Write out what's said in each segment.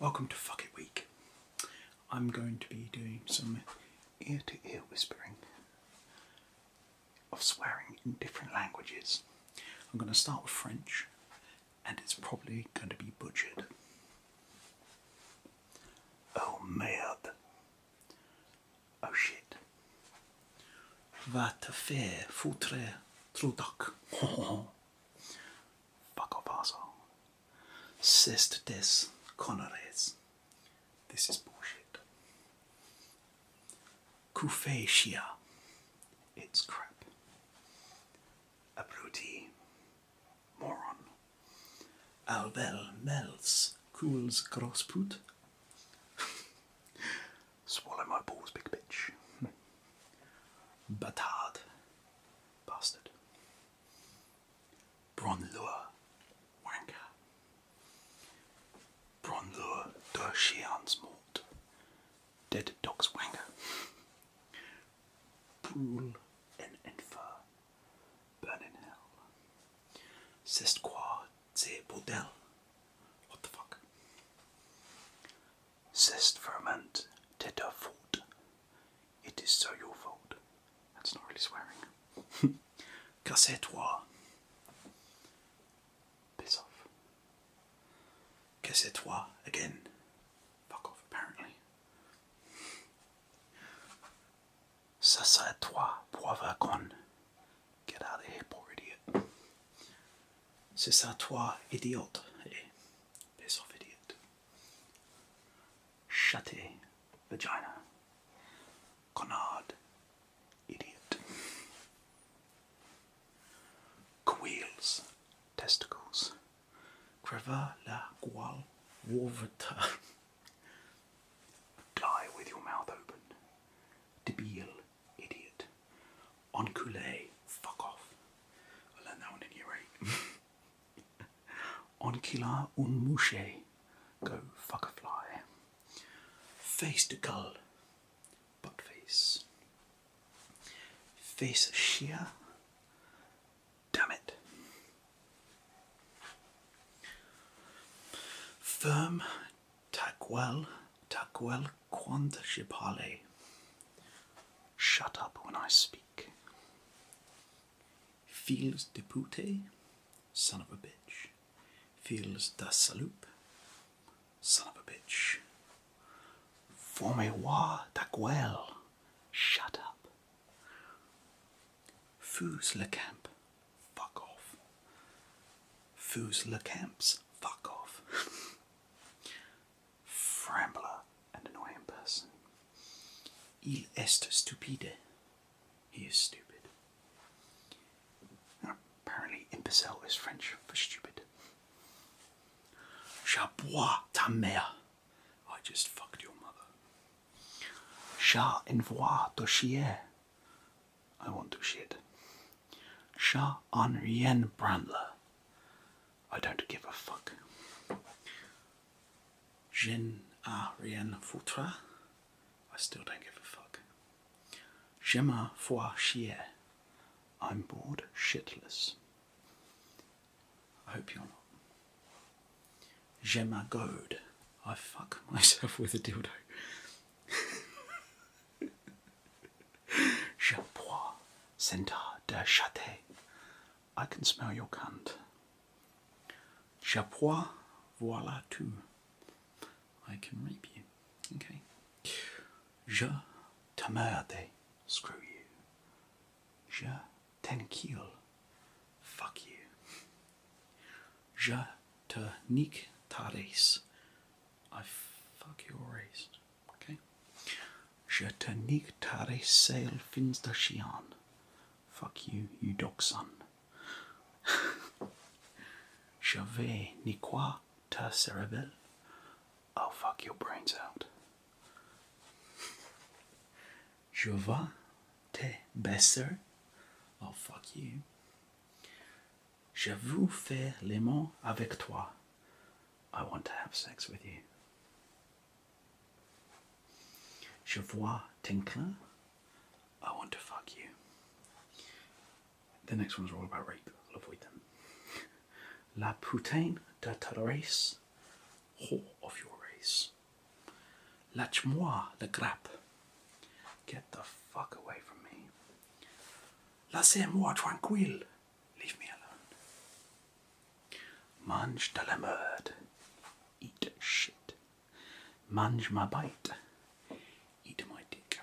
Welcome to Fuck It Week. I'm going to be doing some ear to ear whispering of swearing in different languages. I'm going to start with French and it's probably going to be butchered. Oh merde. Oh shit. Vad fär fotre trodak. Fuck off asshole. Sest des conores. This is bullshit. Kufeshia. It's crap. A Abruti. Moron. Albel melts, cools crossput. Swallow my balls, big bitch. Batard. Bastard. Bronlure. Wanker. Bronlure de Chian's mort. Dead dog's wanker. Brule and infer. Burn in hell. Sestquadze bordel. What the fuck? Sest ferment teta fault. It is so your fault. That's not really swearing. Casse-toi. Piss off. Casse-toi again. Fuck off, apparently. Ça serait toi, pauvre con. Get out of here, idiot. C'est ça toi, idiote. Hey, piss idiot. Shutty, vagina. Connard, idiot. Queels, testicles. Creva la gual, wolverta. Die with your mouth open. Debile, idiot. On coulé, fuck off. I learned that one in year 8. Enquila un mouche, go fuck a fly. Face de gull, butt face. Face shea. damn it. Firm Takwell Takwell Quant Shipale. Shut up when I speak. Feels de pute, son of a bitch. Feels da saloup, son of a bitch. Formez-moi Takwell, shut up. Fuse le camp, Fuck off. Foos Le Camps. Fuck off. Frambler, an annoying person. Il est stupide. He is stupid. apparently, imbecile is French for stupid. Chabois ta mère. I just fucked your mother. Chat envoie de chier. I want to shit. Chat en rien branle. I don't give a fuck. Je a rien foutre. I still don't give a fuck. Je me fois chier. I'm bored shitless. I hope you're not. Gemagode. I fuck myself with a dildo. Je bois sentar de chate. I can smell your cunt. Je bois, voilà tout. I can rape you. Okay. Je t'emmerde. Screw you. Je t'enquille. Fuck you. Je te nique ta race. I fuck your race. Okay? Je te nique ta race, sail fins de chien. Fuck you, you dog son. Je vais niquer ta cerebelle. I'll fuck your brains out. Je vais te Oh fuck you. Je veux faire l'aimant avec toi. I want to have sex with you. Je vois tinkler. I want to fuck you. The next one's all about rape. I'll avoid them. La putain de ta race, whore of your race. Lâche-moi le grappe. Get the fuck away from me. Laissez-moi tranquille. Leave me alone. Mange de la merde. Eat shit. Mange ma bite. Eat my dick.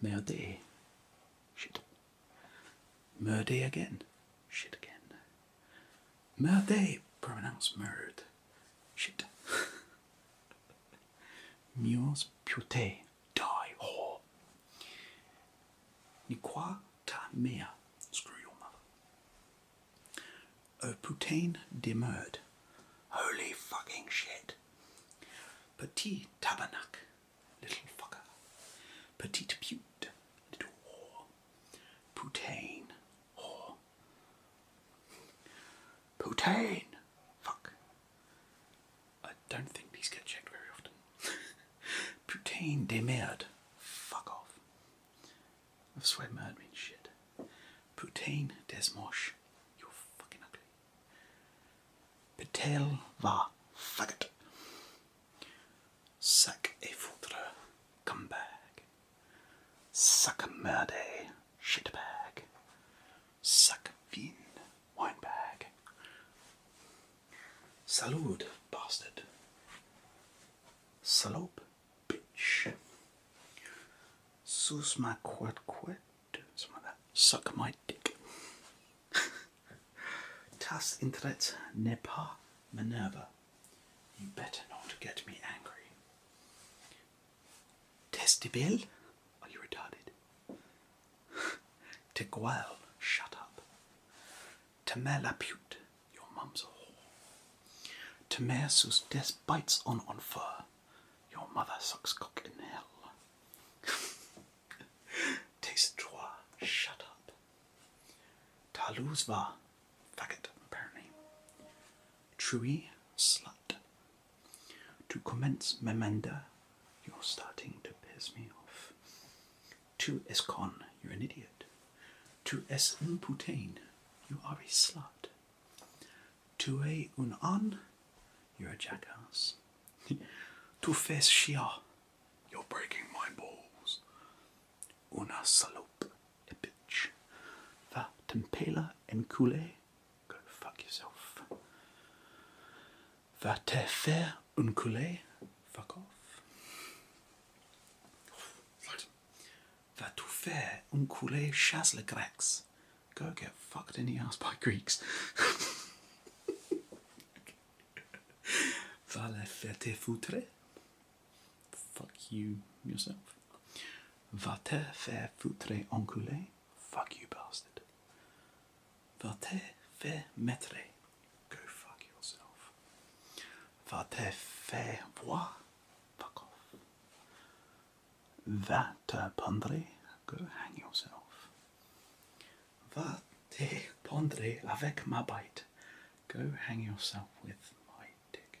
Merde. Shit. Merde again. Shit again. Murder, pronounced murdered. Shit. Mules pute, die whore. Nikwa ta mère, screw your mother. O putain demurred. Holy fucking shit. Petit tabernacle, little fucker. Petite pute, little whore. Putain, Oh. Putain, Fuck. I don't think these get checked very often. Putain de merde. Fuck off. I swear merde means shit. Poutine des moches. You're fucking ugly. Petel va faggot. Sac et foutre. Come back. Suckmerde, shitbag. Suckvin, winebag. Salud, bastard. Salope, bitch. Sus my quad quit. Suck my dick. Tas intret nepa Minerva. You better not get me angry. Testibel? Are you retarded? Teguel, shut up. Temelapute, your mum's a whore. Temer sus des bites on on fur, your mother sucks cock in hell. Taste trois, shut up. Taluzva, faggot, apparently. Trui, slut. To commence Memenda, you're starting to piss me off. To escon, you're an idiot. To es imputane, you are a slut. To a un an, you're a jackass. to fes shia, you're breaking my balls. Una salope, a bitch. Va tempela encule, go fuck yourself. Va te faire enculer, fuck off. Right. Va tout faire enculer chasse les Grecs, go get fucked in the ass by Greeks. Va les faire te foutre. Fuck you yourself. Va te faire foutre en culé? Fuck you bastard. Va te faire mettre? Go fuck yourself. Va te faire voir? Fuck off. Va te pendre? Go hang yourself. Va te pendre avec ma bite? Go hang yourself with my dick.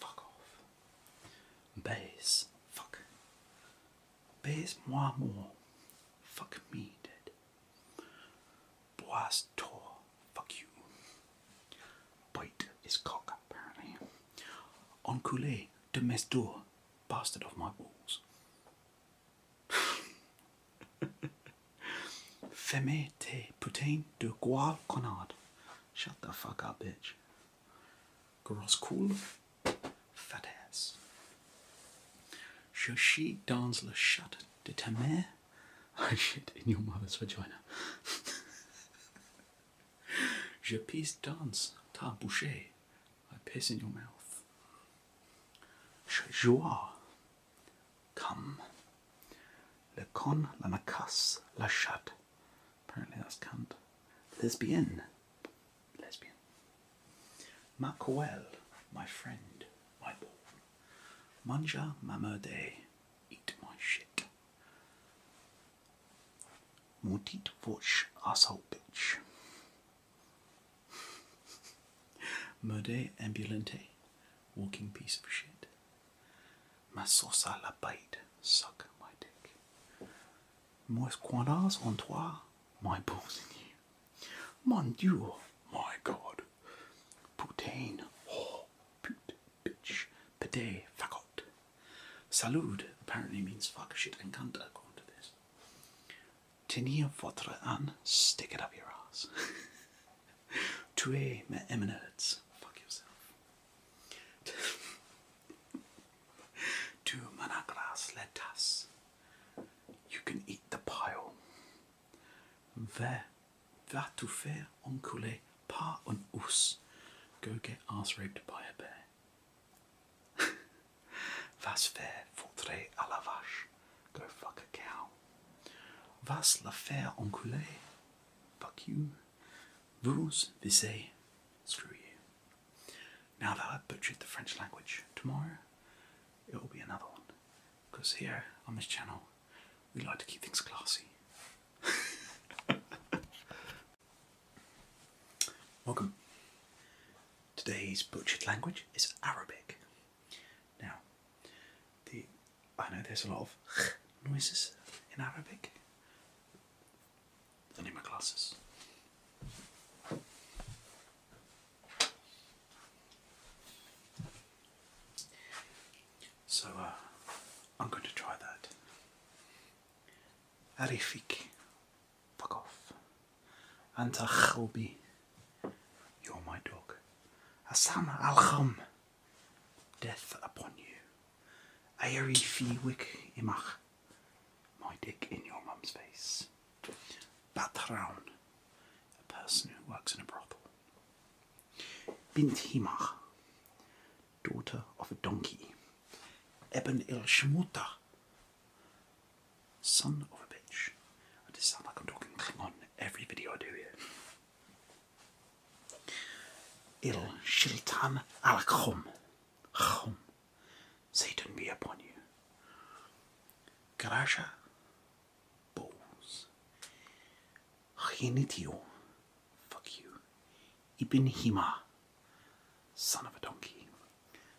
Fuck off. Baze. Fuck. Baze moi more. Fuck me dead. Bois tour, Fuck you. Bite his cock apparently. Enculé de mes doigts. Bastard of my walls. Fermez tes putain de gual connards. Shut the fuck up, bitch. Girl's cool, fat Je suis dans la chatte de ta mère. I shit in your mother's vagina. Je pisse dans ta bouche. I piss in your mouth. Je joue. Come. Le con la nacasse la chatte. Apparently that's cunt. Lesbian. Lesbian. Maquel, my friend, my ball. Manja mamerde, eat my shit. Mortit voch asshole bitch. Merde ambulante, walking piece of shit. M'assossa la bête, suck my dick. Moist quandas on toi, my balls in you. Mon Dieu, my God. Putain, oh, pute, bitch, pede, fagot. Salud apparently means fuck shit and cunt according to this. Tenir votre an, stick it up your ass. Tuer mes eminence, fuck yourself. Two managrass lettuce. You can eat the pile. Va, va tout faire enculer par un ours. Go get ass raped by a bear. Vas faire foutre à la vache. Go fuck a cow. Vas la faire enculer. Fuck you. Vous, they say, screw you. Now that I've butchered the French language, tomorrow it will be another one. Because here on this channel, we like to keep things classy. Welcome. Today's butchered language is Arabic. Now, the I know there's a lot of noises in Arabic, I need my classes. So uh, I'm going to try that. Arifik, fuck off. Anta You're my dog. Hassan Al Kham, death upon you. Aeri fi imach, my dick in your mum's face. Batraun, a person who works in a brothel. Bint himach, daughter of a donkey. Eben il son of a bitch. I just sound like I'm talking Klingon every video I do here. Il Shiltan al Khum. Satan be upon you. Karasha, Bowls. Chinitio. Fuck you. Ibn Hima. Son of a donkey.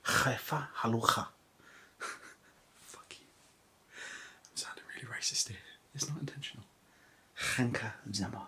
Chefa Halucha. Fuck you. I'm sounding really racist here. It's not intentional. Hanka Zema.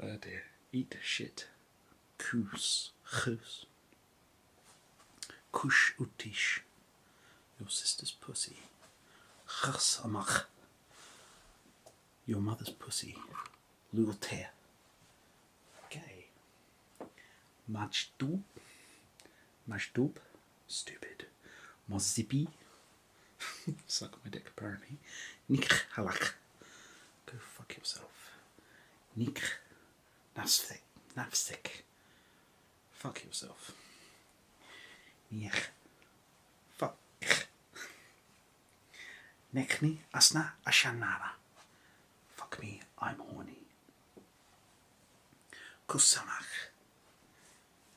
oh Eat shit. Kus. Kus. Kush utish. Your sister's pussy. Chasamach. Your mother's pussy. Lulter. Okay. Majdub. Majdub. Stupid. Mozibi. Suck my dick, apparently. Nikhalak. Go fuck yourself. Nick. Napstick. Napstick. Fuck yourself. Niech. Fuck. Nechni asna ashanara. Fuck me, I'm horny. Kusamach.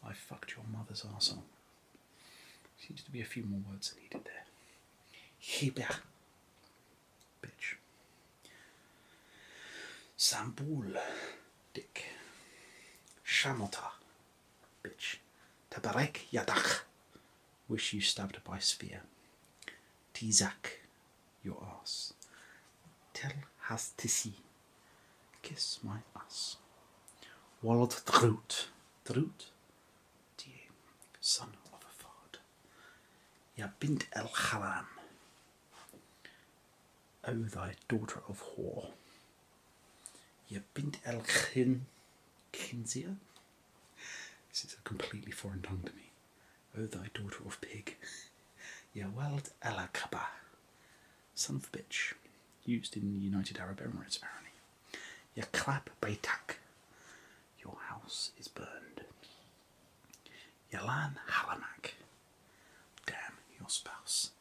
I fucked your mother's asshole. Seems to be a few more words needed there. Hiba. Bitch. Sambul. Dick. Shamota. Bitch. Tabarek Yadach. Wish you stabbed by spear. Tizak. Your ass. Tel has tisi. Kiss my ass. Wallot Drut. Drut? to son of a fard, Ya bint el haram, O thy daughter of whore, Ya bint el khin, khinzia. This is a completely foreign tongue to me. O thy daughter of pig, Ya wald el akaba, son of a bitch, used in the United Arab Emirates apparently. You clap baytak. Your house is burned. Yalan halamak. Damn your spouse.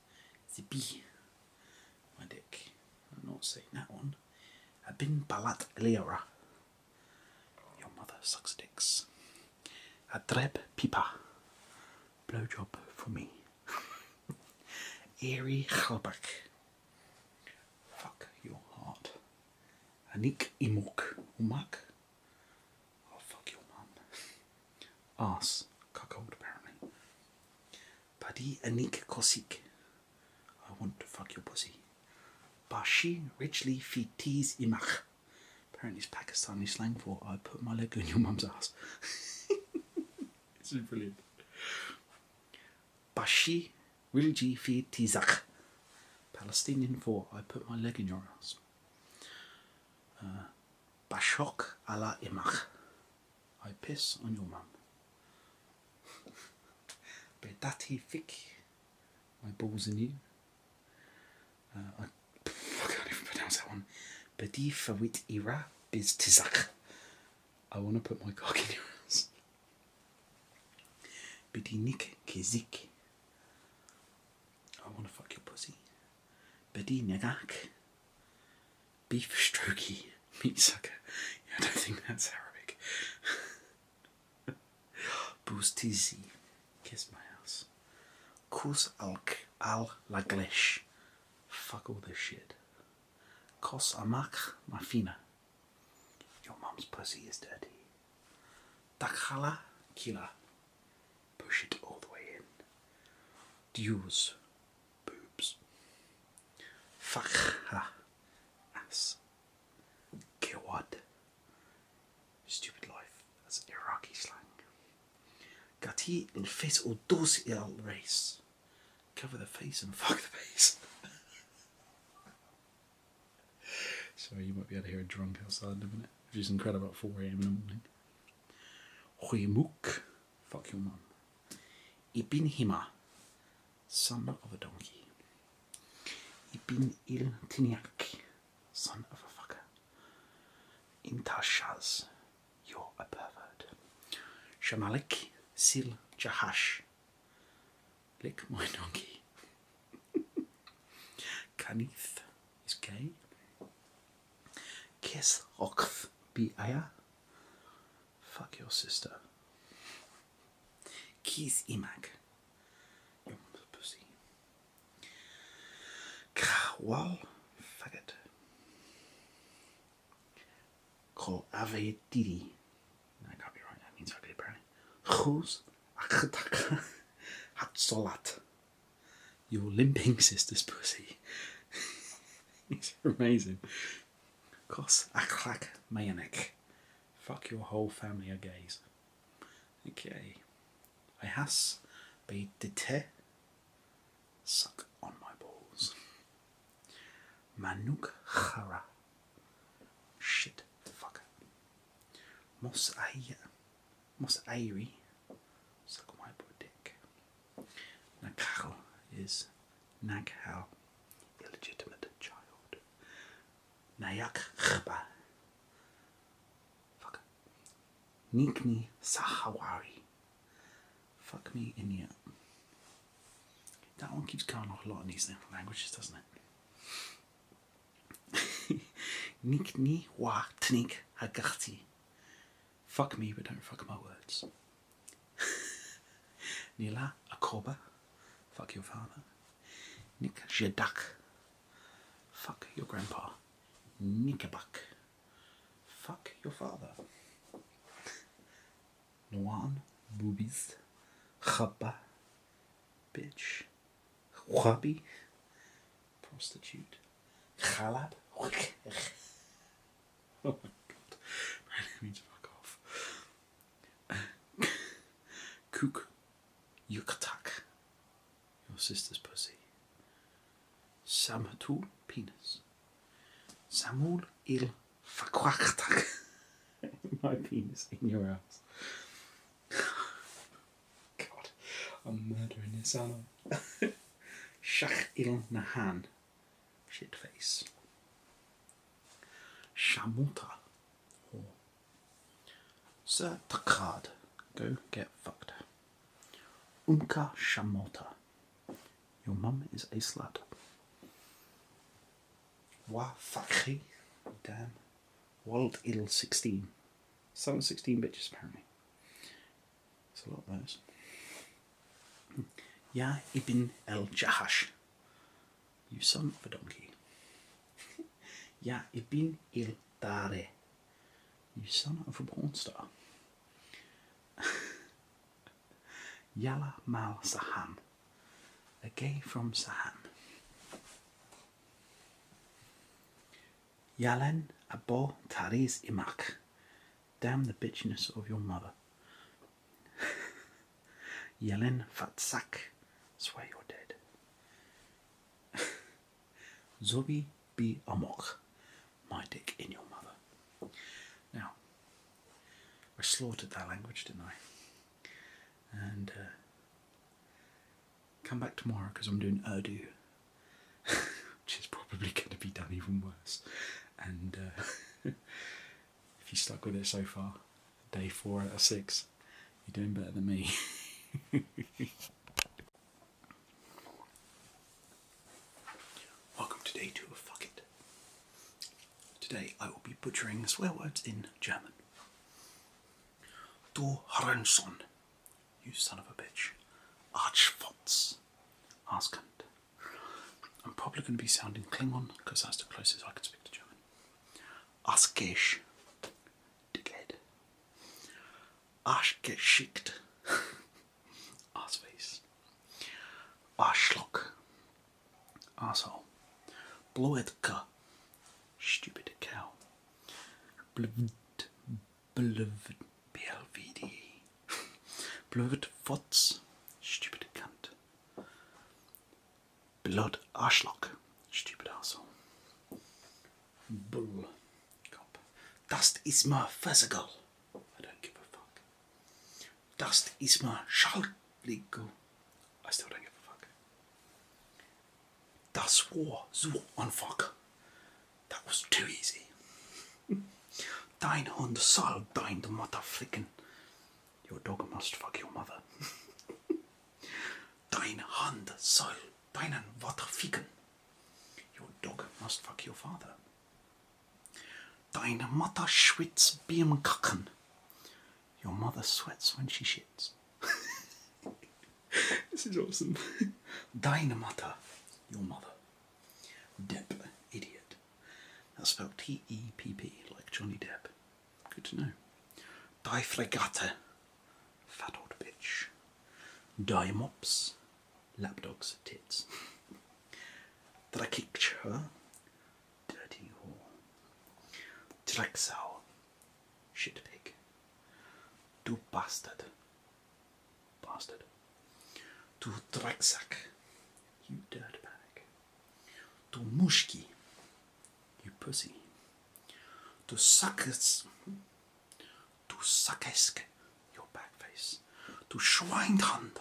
Zibi. My dick. I'm not saying that one. Abin balat liora. Your mother sucks dicks. Adreb pipa. Blowjob for me. Eri halbak. Fuck your heart. Anik imok umak. Oh, fuck your mum. Ass. Cuckold, apparently. Padi anik kosik. I want to fuck your pussy. Bashi richly fitiz imach. Apparently it's Pakistani slang for I put my leg in your mum's ass. It's is brilliant. Bashi Rilji fi Tizak. Palestinian for I put my leg in your ass. Uh, Bashok ala imach. I piss on your mum. Bedati fik. My balls in you. Uh, I, I, can't even pronounce that one. Bedi fawit ira biz tizak. I want to put my cock in your ass. Bidinik kizik. I want to fuck your pussy. nagak. Beef strokey. Meat sucker. I don't think that's Arabic. Boostizi. Kiss my ass. Kus alk al laglish. Fuck all this shit. Kos amak mafina. Your mom's pussy is dirty. Dakhala kila. Push it all the way in. Dues. Boobs. Fakha. Ass. Kiwad. Stupid life. That's Iraqi slang. Gati nfit o dos il race. Cover the face and fuck the face. Sorry, you might be able to hear a drunk outside in a minute. If you can crowd about 4 am in the morning. Hui muk, Fuck your mum. Ibn Hima. Son of a donkey. Ibn il Tiniak. Son of a fucker. Intashas, You're a pervert. Shamalik Sil Jahash. Lick my doggy. Canith is gay. Kiss Okth Biaya. Fuck your sister. Kiss Imak. Your pussy. Krawal faggot. Ko avetiri. I got me wrong. that means ugly Who's Chus akhtaka hatsolat. Your limping sister's pussy. it's amazing. Kos aklak mayanek. Fuck your whole family are gays. Okay. I has be dete. Suck on my balls. Manuk chara. Shit, fucker. fuck. Mosairi. Mosairi. Suck my dick. Nakao is Naghal, illegitimate child. Nayakba. Fuck. Nikni Sahawari. Fuck me in you. That one keeps going off a lot in these languages, doesn't it? Nikni wa tnik agati. Fuck me, but don't fuck my words. Nila akoba. Fuck your father. Nick jadak. Fuck your grandpa. Nickabuck. Fuck your father. Nuan, boobies, chapa, bitch, wabi, prostitute, chalab. oh my god, my name means fuck off. Cook, yukatak, your sister's pussy. Samatu, penis. Samul il Verquachtag. My penis in your ass. God, I'm murdering this animal. Shach il Nahan. Shitface. Shamota. Sir Takad. Go get fucked. Umka Shamota. Your mum is a slut. Wa fakri. Damn. Wald il 16. Selling 16 bitches, apparently. It's a lot of those. Hmm. Ya ibn el Jahash. You son of a donkey. ya ibn el Dare. You son of a porn star. mal Saham, a gay from Saham. Yalen abo tariz imak, damn the bitchiness of your mother. Yalen fatsak, swear you're dead. Zobi bi amok, my dick in your mother. Now, I slaughtered that language, didn't I? And uh, come back tomorrow because I'm doing Urdu, which is probably going to be done even worse. And uh, if you stuck with it so far, day four out of six, you're doing better than me. Welcome to day two Fuck It. Today I will be butchering swear words in German. Du Hurensohn, you son of a bitch. Arschfotz, Arschkant. I'm probably going to be sounding Klingon because that's the closest I can speak to German. Arschgesch, dickhead. Arschgeschickt, arseface. Arschlock, Asshole. bluetka, Stupid cow. Blvd. Blvd. BLVD. Blvd. Fotz. Stupid cunt. Blood. Arschloch. Stupid asshole. Bull. Cop. Dust is my physical. I don't give a fuck. Das ist mal Schaltlinko als der Regenfuck. Das war so einfach. That was too easy. dein Hund soll deine Mutter flicken. Your dog must fuck your mother. dein Hund soll deinen Vater ficken. Your dog must fuck your father. Deine Mutter schwitzt beim Kacken. Your mother sweats when she shits. this is awesome. Deine Mutter. Your mother. Depp. Idiot. That's spelled T E P P like Johnny Depp. Good to know. Die Fregatte. Fat old bitch. Die Mops. Lapdogs. Tits. That I kicked her. Dirty Hall, shit pig, Du Bastard, Bastard, Du Drecksack, You Dirtbag, Du Mushki, You Pussy, Du Sackes, Du Sackesk, Your Backface, Du Schweinhand,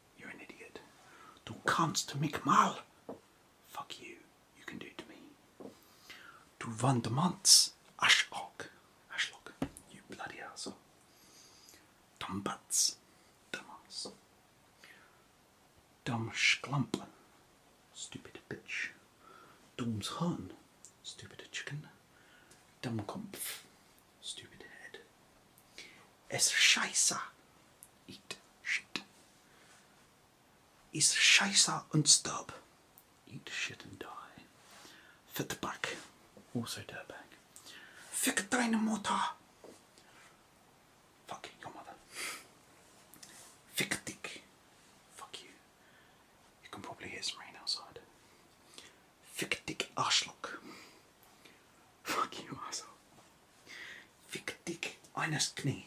you're an idiot. Du kannst mich mal. Fuck you. You can do it to me. Du Wandermanns. Arschlock. Arschlock. You bloody asshole. Dumbatz. Dumbass. Dummschklampen. Stupid bitch. Dum's hun. Stupid chicken. Dummkumpf. Stupid head. Es scheiße. Eat shit. Is scheiße Eat shit and die. Fitback. Also dirtbag. Fick deine Mutter. Fuck your mother. Fick dick. Fuck you. You can probably hear some rain outside. Fick dick Arschlock. Fuck you, asshole. Fick dich eines Knie.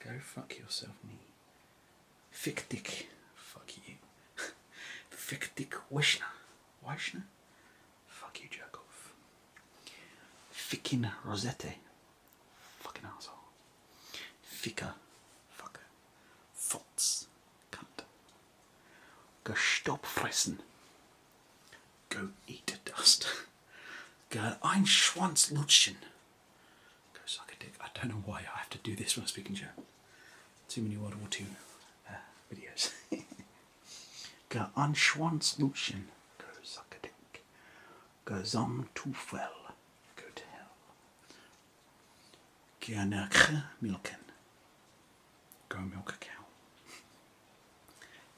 Go fuck yourself, knee. Fick dich. Fuck you. Fick dich, Wishner. Wishner? Fuck you, jerk off. Rosette. Fucking asshole. Ficker. Fucker. Go stop Gestopfressen. Go eat dust. Girl, ein Schwanz lutschen. Go suck a dick. I don't know why I have to do this when I'm speaking German. Too many World War II uh, videos. Go ein Schwanz lutschen. Go suck a dick. Go zum Teufel. Go to hell. Gerne milken. Go milk a cow.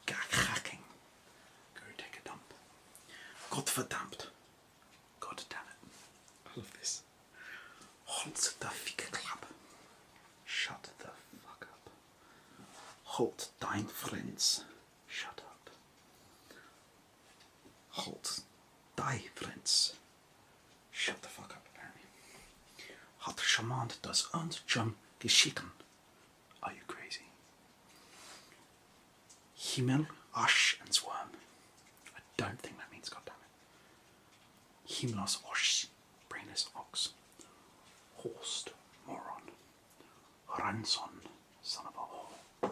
Gar cracking. Go take a dump. Gottverdammt. God damn it. I love this. Hold the ficker club. Shut the fuck up. Hold dein friends. Shut up. Hold die friends. Shut the fuck up, apparently. Hat Schaman das uns schon geschicken? Are you crazy? Himmel, Asch, and Swarm. I don't think that means goddammit. Himlos, osh, brainless ox. Horst, moron. Ranson, son of a whore.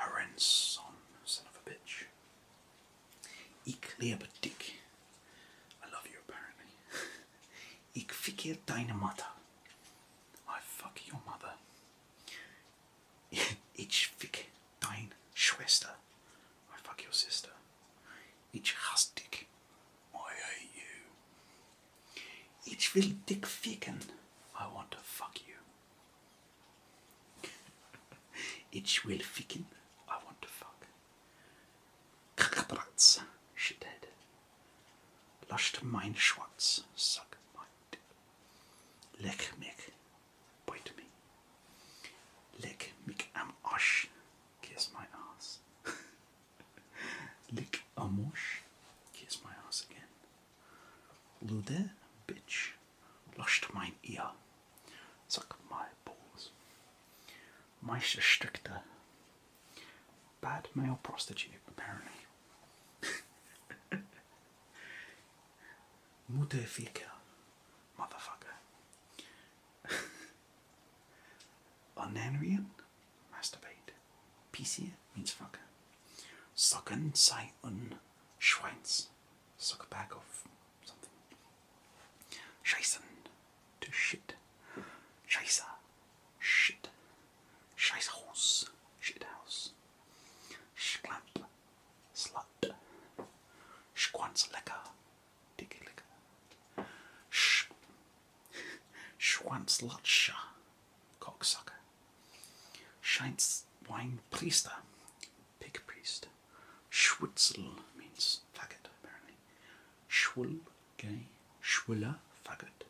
Harenson, son of a bitch. Ecleopatic. I love you apparently. Ich fikir deine Mutter. I fuck your mother. Ich fick deine Schwester. I fuck your sister. Ich hasse dich. I hate you. Ich will dich ficken. I want to fuck you. Ich will ficken. I want to fuck. Kakabratz. Shithead. Lasst mein Schwanz, sagt mein Dick. Leck mich, bite me. Leck mich am Arsch, kiss my ass. Lick am Arsch, kiss my ass again. Lude, bitch, lasst mein Ear, sagt my balls. Meisterstückte. Bad male prostitute, apparently. Mutterficker. Motherfucker. Onanrian. Masturbate. PC means fucker. Socken sei un Schweins. Suck a bag of something. Scheißen to shit. Scheiße. Shit. Scheißhaus. Shithouse. Schlamp. Slut. Schwanzlecker. Dicky licker. Sch. Schwanzlutscher. Cocksucker. Scheins wine priester. Pig priest. Schwitzel means faggot, apparently. Schwul Okay, Schwuller, faggot.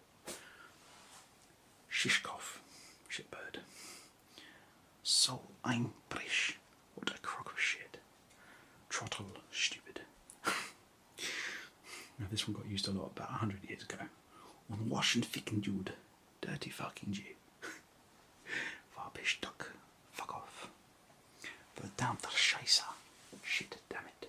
Shishkov, shitbird. So einbrisch, what a crock of shit. Trottel, stupid. now this one got used a lot about 100 years ago. Unwashed and ficken dude, dirty fucking Jew. Farbish duck, fuck off. Verdammter Scheiße, shit damn it.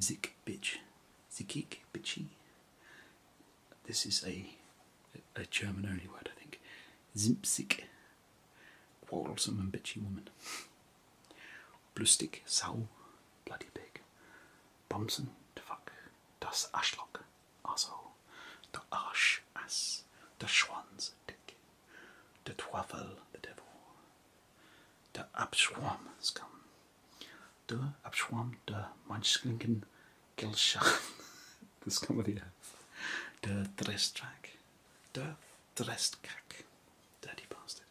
Zik Bitch, Zikik Bitchy. This is a a German only word, I think. Zimpsig, quarrelsome and bitchy woman. Blustig, Sau, bloody pig. Bumsen, the fuck. Das Aschlock also, Der Arsch, ass. Der Schwanz, dick. the Teufel, the devil. Der Abschwarm skam. Der Abschwarm der manchlinken Gelschach. Das kann man wieder. Der Dresstrack. Der Dresskack. Dirty bastard.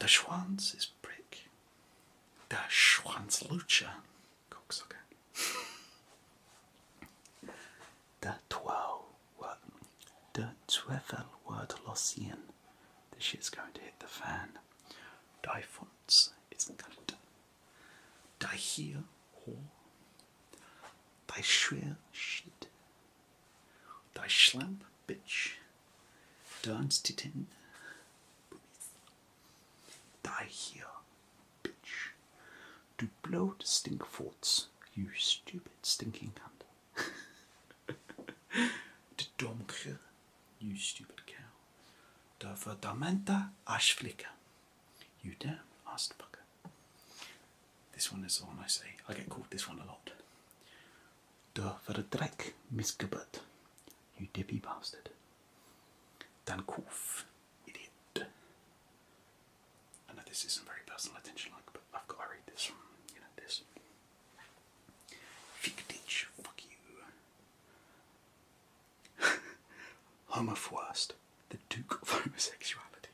Der Schwanz is Brick. Der Schwanzlutscher. Cocksucker. Der Twau. Der Zweifel wird lossieren this shit's going to hit the fan. Daifonts, isn't here, Daihir Die Daishweer shit. Die Daishlamp, bitch. Die here, bitch. blow the stink forts, you stupid stinking cunt. De domke, you stupid cow. De verdamenta ashflicker. You damn ass fucker. This one is the one I say. I get called this one a lot. De verdrek misgebut. You dippy bastard. Dan koof, idiot. I know this isn't very personal attention like, but I've got to read this from, you know, this. Fichtich, fuck you. Homophwast, the Duke of Homosexuality.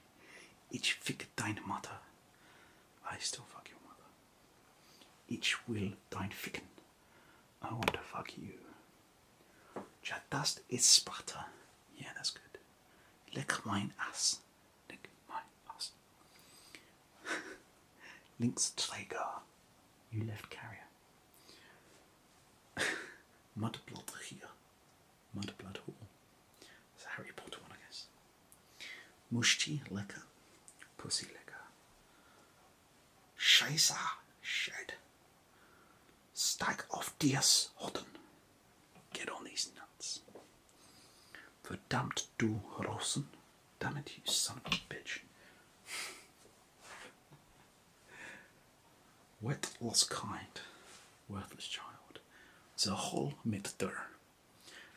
Ich fick deine Mutter. I still fuck your mother. Ich will dein Ficken. I want to fuck you. Ja, das ist Sparta. Yeah, that's good. Leck mein Ass. Nick, mine, us. Links Träger, you left carrier. Mudblood here, Mudblood Hall. It's a Harry Potter one, I guess. Mushti Lecker, Pussy Lecker. Scheißer, Shed. Stack of deers, Hodden. Get on these nuts. Verdammt du Rosen! Damn it, you son of a bitch. Wet lost kind, worthless child. The whole midder.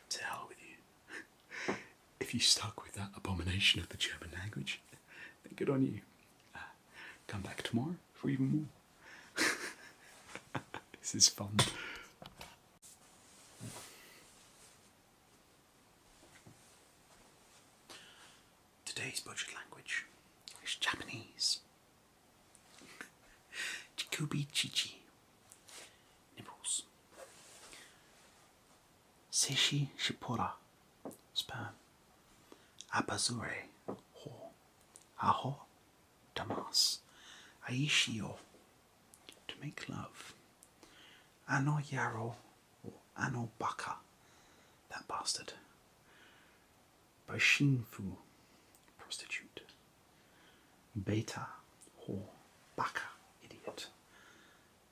To hell with you. if you stuck with that abomination of the German language, then good on you. Uh, come back tomorrow for even more. this is fun. Today's budget language is Japanese. Chikubi Chichi. Nipples. Seishi Shipora. Sperm. Abazure. Ho. Aho. Damas. Aishio to make love. Anor Yarrow or Anor Baka, that bastard. By Shinfu, prostitute. Beta, whore. Baka, idiot.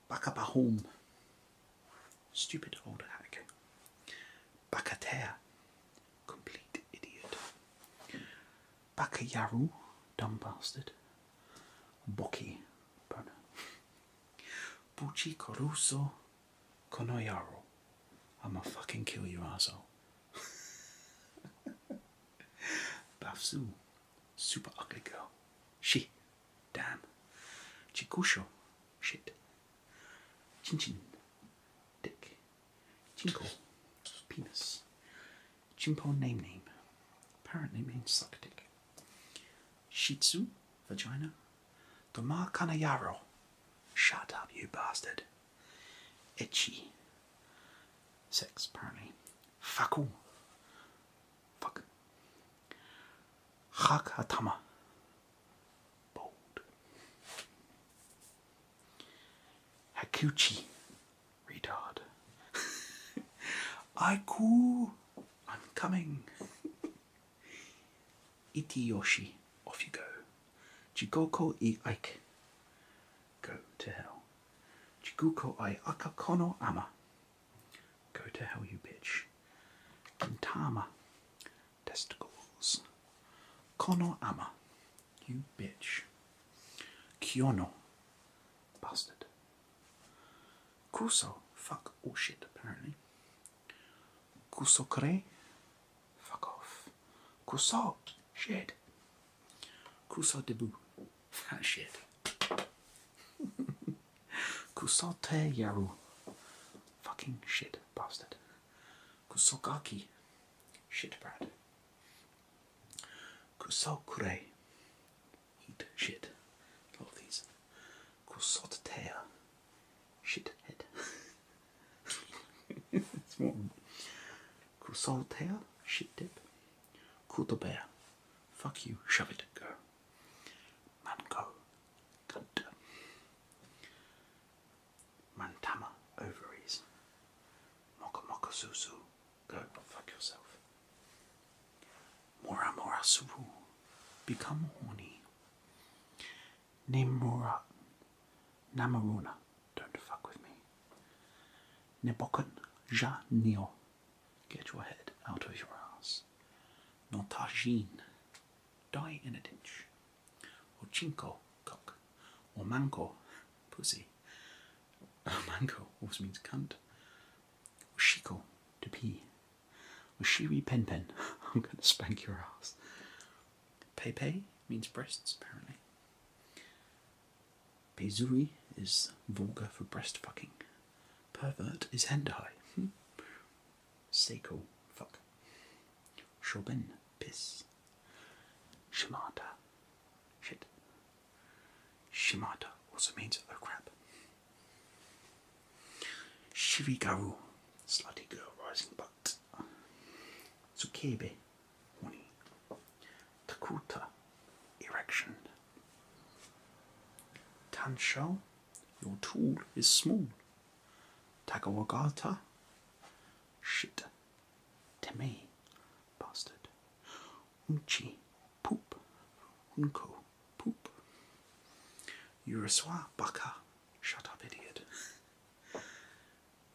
Baka Bahom, stupid old hack. Bakatea, complete idiot. Bakayaru, dumb bastard. Boki, burner. Buchi Koruso Konoyaro. I'ma fucking kill your asshole. Bafzu, super ugly girl. She, damn. Chikusho, shit. Chinchin, dick. Chinko, penis. Chimpo name name apparently means suck dick. Shih Tzu, vagina. Doma Kanayaro, shut up you bastard. Itchy, sex apparently. Faku, fuck. Hakatama, bold. Hakuchi, retard. I cool. I'm coming. Yoshi. off you go. Jigoko e Ike. Go to hell. Jiguko i Akakono ama. Go to hell, you bitch. Tama. testicles. Kono ama, you bitch. Kiono. Bastard. Kuso. Fuck all shit, apparently. Kuso Kusokure. Fuck off. Kuso. Shit. Kuso debu. That shit. Kuso te yaru. Fucking shit, bastard. Kuso Kusogaki. Shit, Brad. Kusokure. Eat shit. all lot of these. Kusotatea. Shit head. it's more. Kusotatea. Shit dip. Kutobear. Fuck you. Shove it. Go. Mango. Cunt. Mantama. Ovaries. Moka Go fuck yourself. Mora Mora Suru. Become horny. Nimura Namaruna. Don't fuck with me. Nebokan Ja Neo. Get your head out of your ass. Notajin. Die in a ditch. Or chinko, cock. Or mango, pussy. Oh, mango also means cunt. Shiko, to pee. Shiri pen pen, I'm going to spank your ass. Pepe means breasts, apparently. Pezuri is vulgar for breast fucking. Pervert is hentai. Hmm. Seiko, fuck. Shoben, piss. Shimata, shit. Shimata also means oh crap. Shirigaru, slutty girl rising butt. Tsukebe, horny. Takuta, erection. Tansho, your tool is small. Tagawagata, shit. Teme, bastard. Unchi, poop. Unko, poop. Uraswa, baka. Shut up, idiot.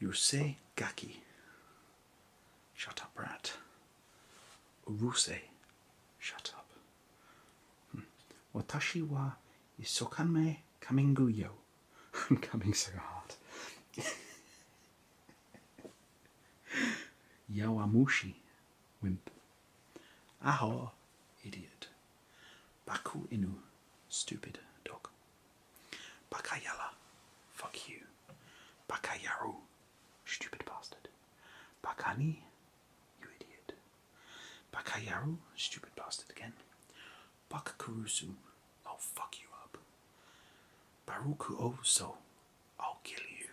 Yurusei, gaki. Shut up, rat. Uruse, shut up. Hmm. Watashi wa isokanme kamingu yo. I'm coming so hard. Yawamushi, wimp. Aho, idiot. Baku Inu, stupid dog. Bakayala, fuck you. Bakayaru, stupid bastard. Bakani, you idiot. Bakayaru, stupid bastard again. Bakarusu, I'll fuck you up. Baruku Oso, I'll kill you.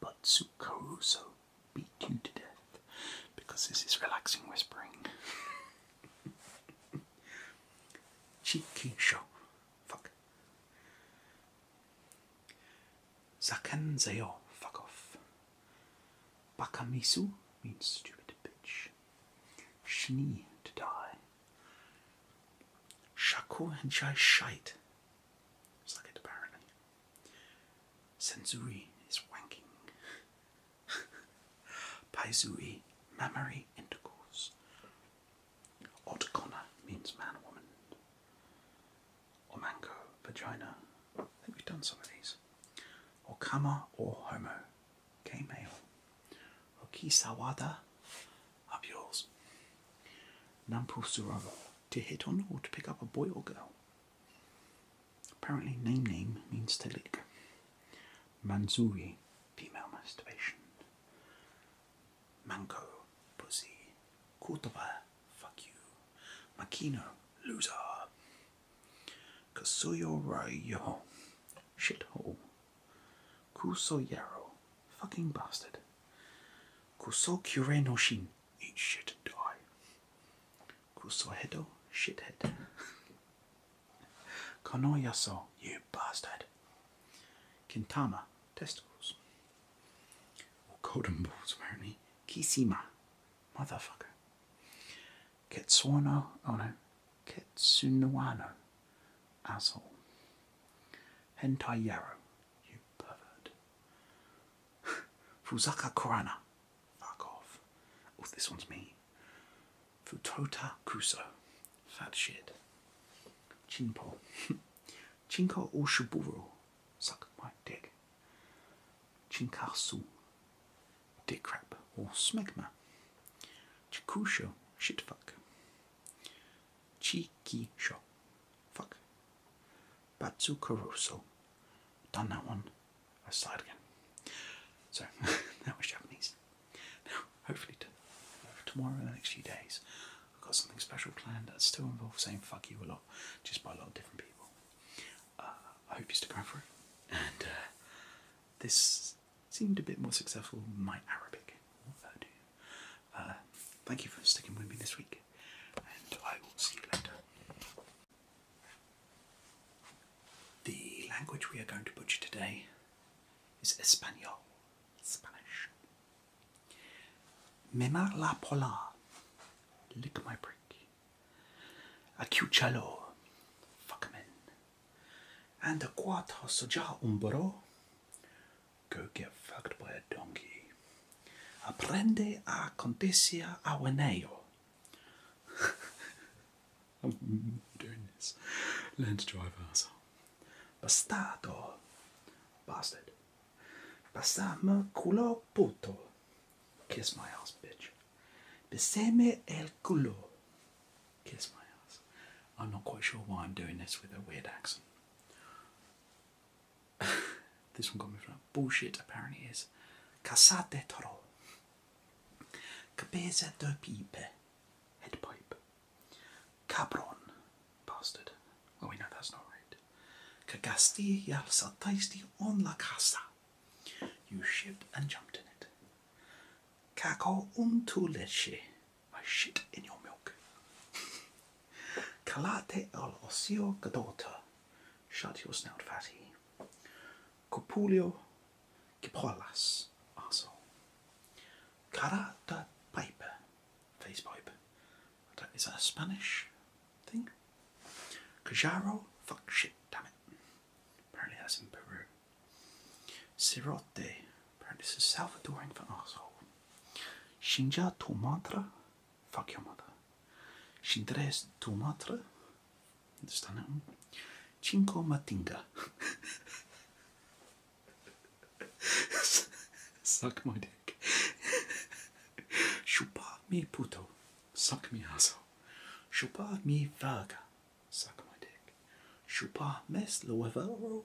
But Sukaruso beat you to death because this is relaxing whispering. Chikisho. Fuck. Zakenzayo. Fuck off. Bakamisu means stupid bitch. Shini to die. Shaku and Jai Shite. It's like it apparently. Sensui is wanking. Paisui, mammary intercourse. Otakona means man woman. Or Omanko, vagina. I think we've done some of these. Or kama or homo, gay male. Okisawada, up yours. Nampu Surava, to hit on or to pick up a boy or girl. Apparently, name name means to lick. Manzuri, female masturbation. Manko, pussy. Kotoba, fuck you. Makino, loser. Kasuyo Rayo, shithole, yaro, Fucking bastard. Kuso Kure no Shin. Eat shit and die. Kuso Hedo. Shithead. Konoyaso. You bastard. Kintama. Testicles. Okodan balls, apparently. Kisima. Motherfucker. Ketsuono. Oh no. Kitsunoano, asshole. Hentai you pervert. Fuzaka Kurana, fuck off. Oh, this one's me. Futota Kuso, fat shit. Chinpo. Chinko Oshiburo, suck my dick. Chinkasu, dick crap or smegma. Chikusho, shitfuck. Chikisho. Fuck. Batsu Caruso. Done that one. I started again. So that was Japanese. Now, hopefully tomorrow and the next few days, I've got something special planned that still involves saying fuck you a lot, just by a lot of different people. Uh, I hope you stick around for it. And uh, this seemed a bit more successful than my Arabic. Uh, thank you for sticking with me this week, and I will see you later. The language we are going to butcher today is Espanol, Spanish. Memar la pola, lick my brick. Acuchalo, fuck men. and a quarter soja umbro. Goge fucked by a donkey. Aprende a contesia aweneo. I'm doing this. Learn to drive, asshole. Bastardo. Bastard. Pasame culo puto. Kiss my ass, bitch. Beseme el culo. Kiss my ass. I'm not quite sure why I'm doing this with a weird accent. this one got me from bullshit, apparently, is Casate Toro. Cabeza de pipe. Head pipe. Cabron. Bastard. Oh, we know that's not right. Cagasti y saltaste on la casa. You shipped and jumped in it. Caco un tu leche my shit in your milk. Calate al osio gadota, shut your snout fatty. Copulio gipolas, asshole. Carata pipe, face pipe. Is that a Spanish thing? Cajaro, fuck shit, damn it. Apparently that's in Peru. Sirote, apparently this is Salvadoran for asshole. Shinja tu matra, fuck your mother. Shindres tu matra, understand that one? Chinko matinga. Suck my dick. Shupa mi puto, suck me asshole. Shupa mi vaga, suck my dick. Shupa mes luevero,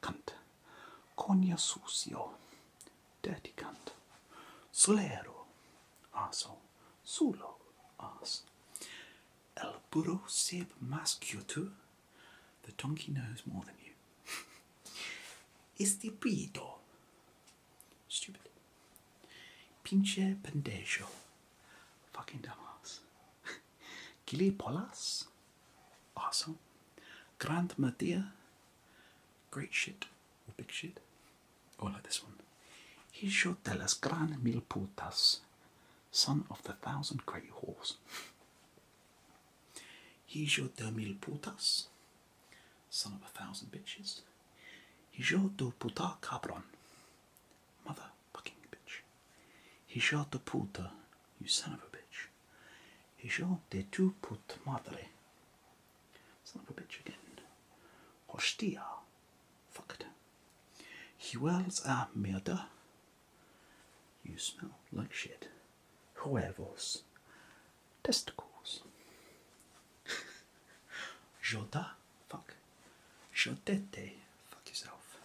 Cunt. Cogna sucio. Dirty cunt. Solero. Aso. Sulo. Ass. El burro sib mas tu. The donkey knows more than you. Istipido. Stupid. Pinche pendejo. Fucking dumbass. Gili Awesome. Grand Mattia. Great shit. big shit. Or oh, like this one. Hijo de las gran mil putas. Son of the thousand great whores. Hijo de mil putas. Son of a thousand bitches. Hijo de puta cabron. Mother fucking bitch. Hijo de puta. You son of a bitch. Io de tu put madre. Son of a bitch again. Hostia. Fucked. He wells a murder. You smell like shit. Huevos. Testicles. Joda. Fuck. Jodete. Fuck yourself.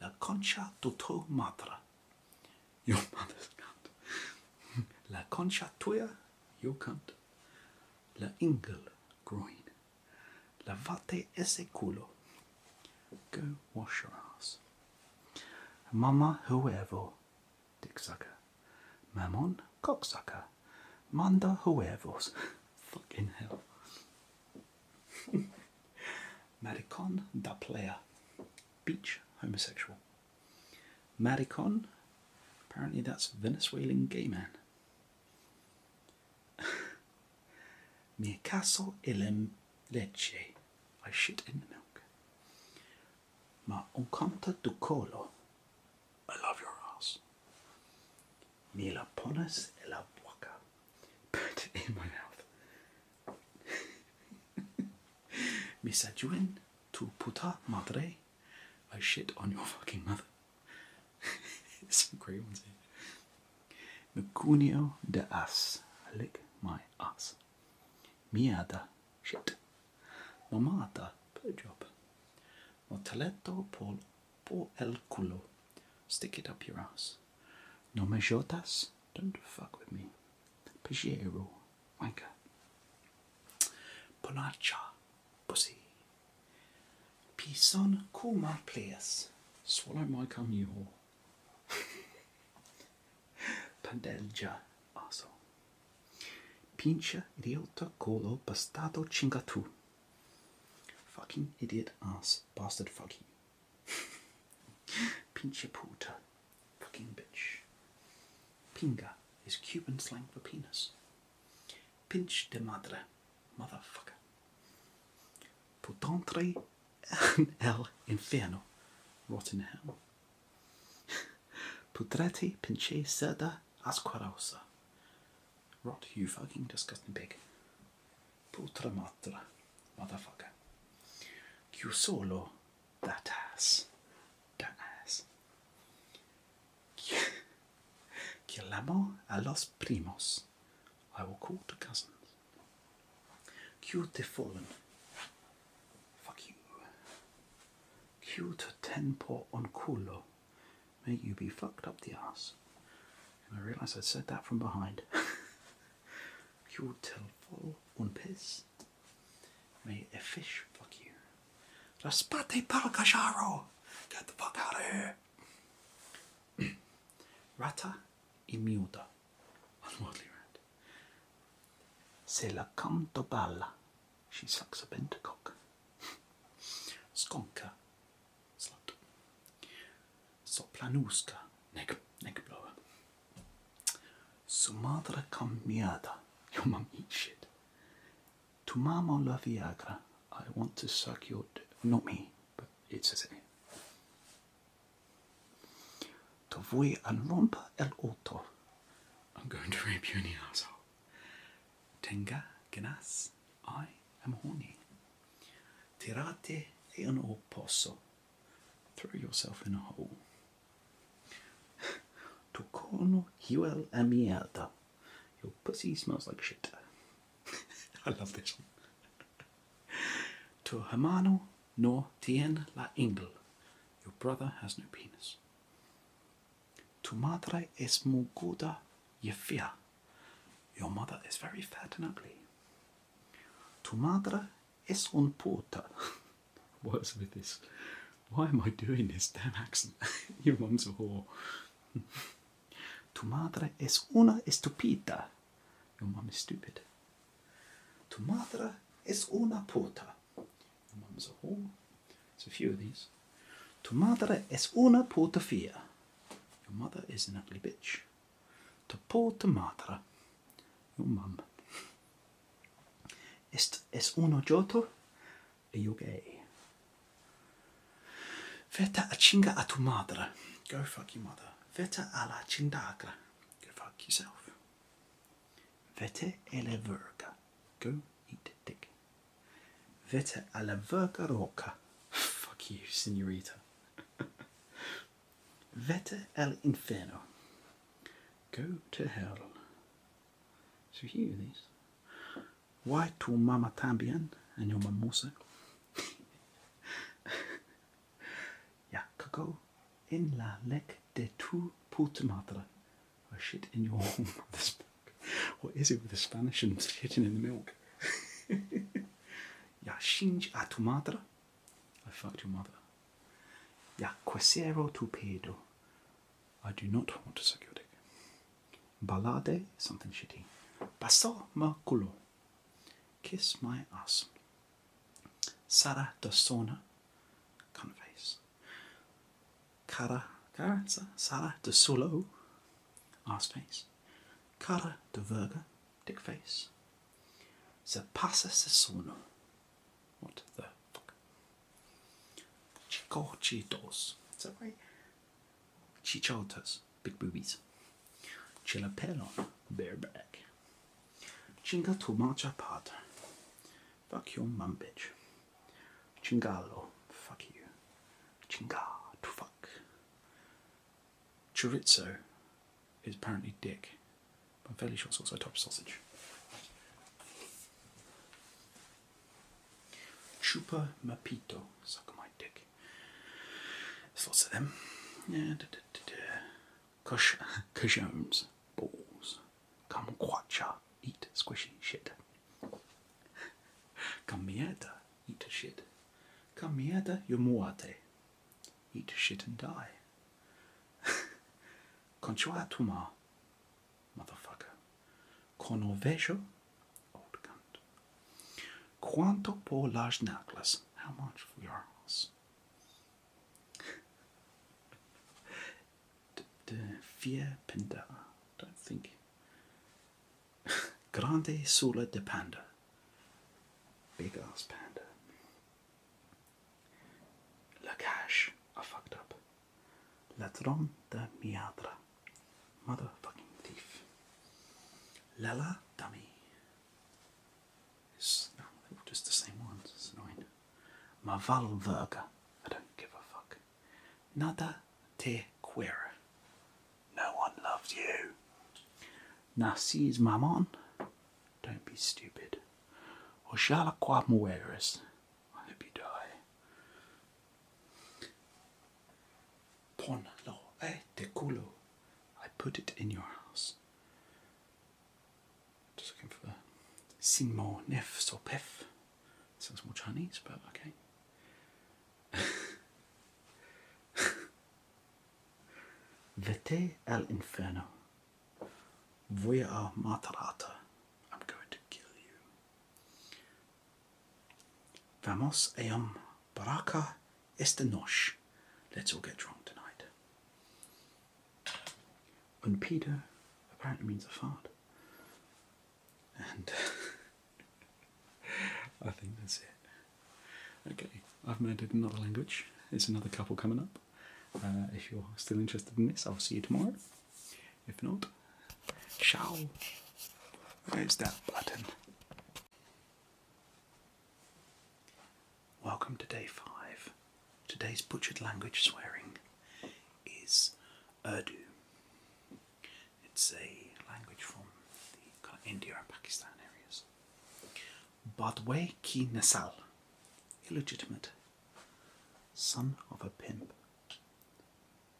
La concha de tu madre. Your mother's cunt. La concha tuya, your cunt. La ingle, groin. Lavate ese culo. Go wash your ass. Mama huevo, dick sucker. Mammon, cocksucker. Manda huevos. Fucking hell. Maricon da playa. Beach homosexual. Maricon, apparently that's Venezuelan gay man. Mi caso el leche, I shit in the milk. Ma encanta tu colo, I love your ass. Me la pones en la boca, put it in my mouth. Me said tu puta madre. I shit on your fucking mother. Some great ones here. Eh? Mecunio de as, I Lick my ass. Mierda. Shit. Mamata. Put job. Mortaletto por, por el culo. Stick it up your ass. No me jotas. Don't fuck with me. Pajero wanker. Bonacha, pussy. Pison kuma pleas. Swallow my cum you whore. Pandelja, aso. Pincha idiota colo bastardo chingatu. Fucking idiot ass bastard fuck you. Pinche puta Fucking bitch. Pinga is Cuban slang for penis. Pinch de madre, motherfucker. Putantre en el infierno, rotten hell. Putrete pinche cerda asquerosa. Rot, you fucking disgusting pig. Putra matra, motherfucker. Q solo that ass. That ass. Que l'amo a los primos. I will call the cousins. Q te fallen. Fuck you. Q to ten por on culo. May you be fucked up the ass. I realize I said that from behind. Q te fall un pez. Mate, a fish, fuck you. Raspate pal cacharo! Get the fuck out of here! Rata immuta. Unworldly rat. Se la canto balla. She sucks a bentacock. Skonka. Slut. Soplanuska. Neck, neck blower. Sumatra cambiada. Your mum eats shit. Tu mama la Viagra. I want to suck your Not me, but it's a it here. Te voy a romper el auto. I'm going to rape you in the asshole. Tenga ganas. I am horny. Tirate e en oposo. Throw yourself in a hole. Tocorno huel a mierda. Your pussy smells like shit. I love this one. Tu hermano no tiene la ingle. Your brother has no penis. Tu madre es muy gorda y fea. Your mother is very fat and ugly. Tu madre es un puta. What's with this? Why am I doing this damn accent? Your mom's a whore. tu madre es una estupida. Your mom is stupid. Tu madre es una puta. Your mom's a whore. It's a few of these. Tu madre es una puta fia. Your mother is an ugly bitch. Tu puta madre. Your mum es uno yoto e yugei. Veta a chinga a tu madre. Go fuck your mother. Veta alla chindagra. Go fuck yourself. Vete ele verga. Go eat dick. Vete alla verga roca. Fuck you, senorita. Vete al inferno. Go to hell. So here it is. Why tu mama también? And your mum Ya cago en la lek de tu puta madre. Or oh shit in your This book. What is it with the Spanish and shitting in the milk? yeah, shinge a tu madre. I fucked your mother. Ya quisiero tu pedo. I do not want to suck your dick. Balade, something shitty. Basso ma culo. Kiss my ass. Sara da sona. Cunt face. Cara, cara Sara da solo. Ass face. Cara de verga. Dick face. Se passa se sono. What the fuck? Chico Cheetos. Is that right? Chichotas. Big boobies. Chilapelon. Bareback. Chinga tu matcha pot. Fuck your mum bitch. Chingalo. Fuck you. Chinga to fuck. Chorizo is apparently dick. I'm fairly sure it's also a type sausage. Chupa Mapito, suck my dick. There's lots of them. Yeah, da, da, da, da. Cush, cushions, balls. Kumquacha, eat squishy shit. Come mieda, eat shit. Come mieda, you yomuate, eat shit and die. Conchuatuma, motherfucker. Cornovejo, old cunt. Quanto por large How much for your house? De Vier Pinda, don't think. Grande Sula de Panda, big ass panda. La cash. I fucked up. Ladrón de miadra. Motherfucking thief. Lala dummy. It's, no, just the same ones. It's annoying. Mavalverga. I don't give a fuck. Nada te queer. No one loves you. Narcisse Mammon. Don't be stupid. Oxalá qua mueres. I hope you die. Pon lo eh, e culo. I put it in your house. Just looking for sin mo nef so Sounds more Chinese, but okay. Vete al inferno a Matarata. I'm going to kill you. Vamos ayam baraka esta noche. Let's all get drunk tonight. Un Peter apparently means a fart. And I think that's it. Okay, I've murdered another language. It's another couple coming up. Uh, if you're still interested in this, I'll see you tomorrow. If not, ciao. Where's that button? Welcome to day five. Today's butchered language swearing is Urdu. It's a language from the India and Pakistan areas. Badwe ki nasal, illegitimate Son of a pimp.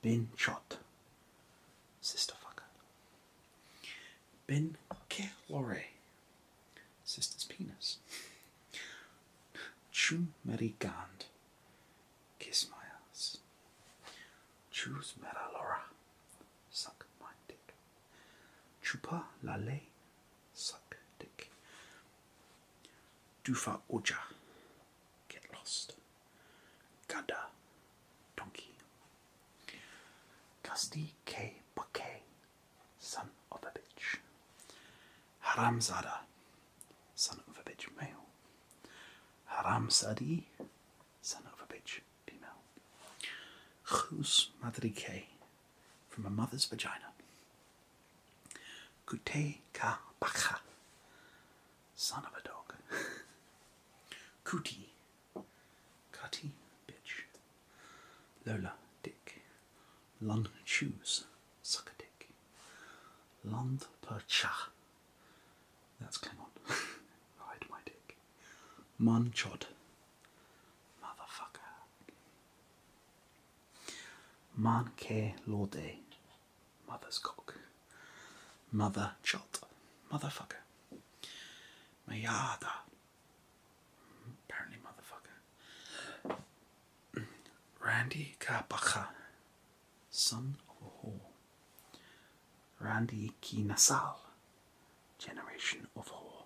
Bin shot. Sister fucker. Bin Ben Kelore. Sister's penis. Chumerigand. Kiss my ass. Choose Meralora. Suck my dick. Chupa la ley Suck dick. Dufa Oja. Get lost. Ganda. Donkey. Gusty K. Buckay. Son of a bitch. Haramzada. Son of a bitch male. Haramzadi. Son of a bitch female. Khus Madrike from a mother's vagina. Kute ka baka, son of a dog. Kuti, Kati, bitch. Lola, dick. London shoes, suck a dick. Lond per that's Klingon. Ride my dick. Manchod, motherfucker. Manke Lorde, mother's cock, mother chot, motherfucker, Mayada, apparently motherfucker, Randy Kabacha, son of a whore, Randy Kinasal, generation of whore,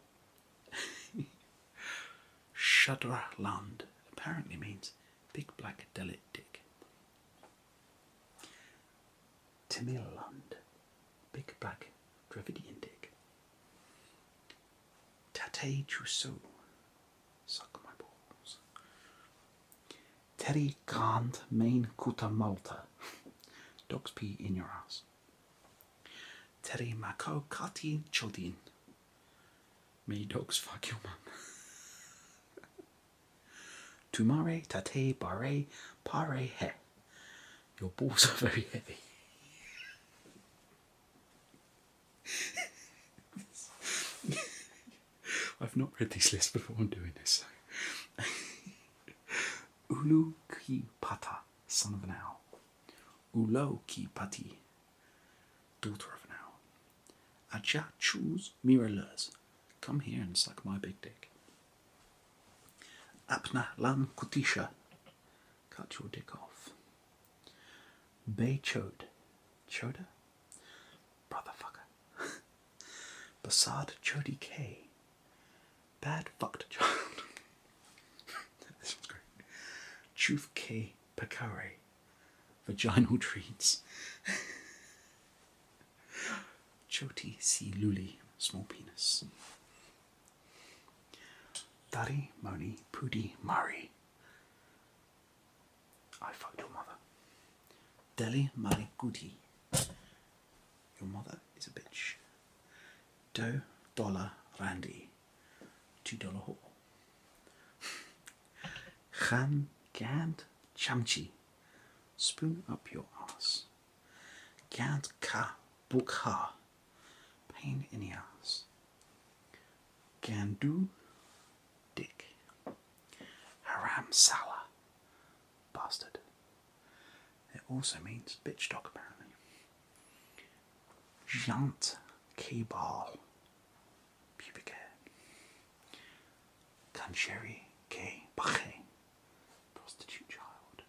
Land apparently means big black delit dick. Land, big black Dravidian dick. Tate Chusso, suck my balls. Teri Grant, main kutamalta, dog's pee in your ass. Teri Mako Kati Chodin, me dogs fuck your mum. Tumare, tate, pare pare, he. Your balls are very heavy. I've not read these lists before I'm doing this. Ulu ki pata, son of an owl. Ulo ki pati, daughter of an owl. Aja choose miralurs. Come here and suck my big dick. Apna lam kutisha. Cut your dick off. Bay chode. Choda? Brotherfucker. Basad chodi k. Bad fucked child. this one's great. Chufke Pekare. Vaginal treats. Choti Siluli. Small penis. Dari Moni Pudi Mari. I fucked your mother. Deli Mari Your mother is a bitch. Do Dollar randi. $2 haul. Gan Gand Chamchi. Spoon up your ass. Gand Ka Bukha. Pain in the ass. Gandu Dick. Haram sala, Bastard. It also means bitch dog apparently. Jant K-Ball, pubic hair. Kancheri K. Bache, prostitute child.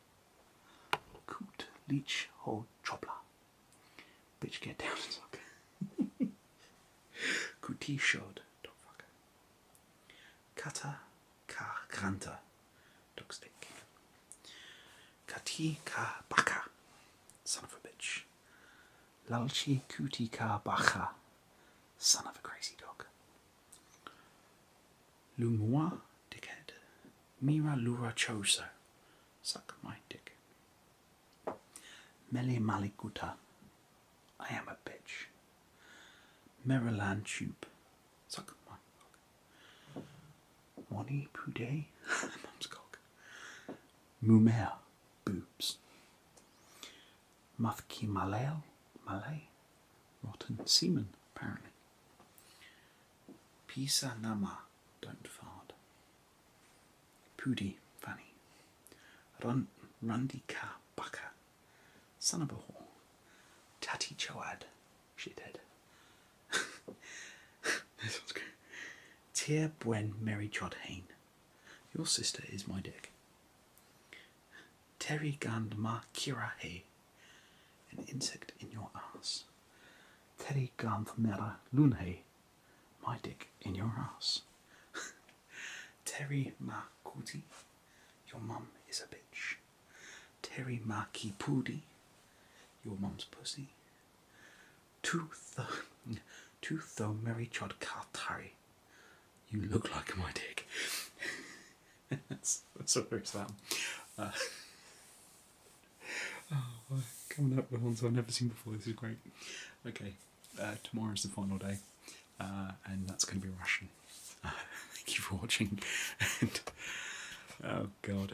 Coot Leech Ho Chopla, bitch get down and suck. Kuti Shod, dog fucker. Kata Ka Kranta, dog stick. Katika Baka. Son of a bitch. Lalchi Kutika Baka. Son of a crazy dog. Lumua dickhead. Mira Lura Choso. Suck my dick. Mele Malikuta. I am a bitch. Maryland Tube. Suck my Wani Poudet, mum's Mumer, boobs. Mafki Malel, Malay, rotten semen, apparently. Pisa Nama, don't fart. Pudi, Fanny. Rundi ka Baka, son of a whore. Tati chowad, she shithead this one's good. Tia Bwen Mary Trod Hain. Your sister is my dick. Terry Gandma Kira Hay. An insect in your ass. Terry Gandmera Hay, My dick in your ass. Terry Makuti. Your mum is a bitch. Terry Maki Pudi. Your mum's pussy. Tutho Mary Chod Kartari. You look like my dick. that's, that's what there is that. Uh, oh, coming up with ones I've never seen before. This is great. Okay, uh, tomorrow is the final day, uh, and that's going to be Russian. thank you for watching. and, oh God.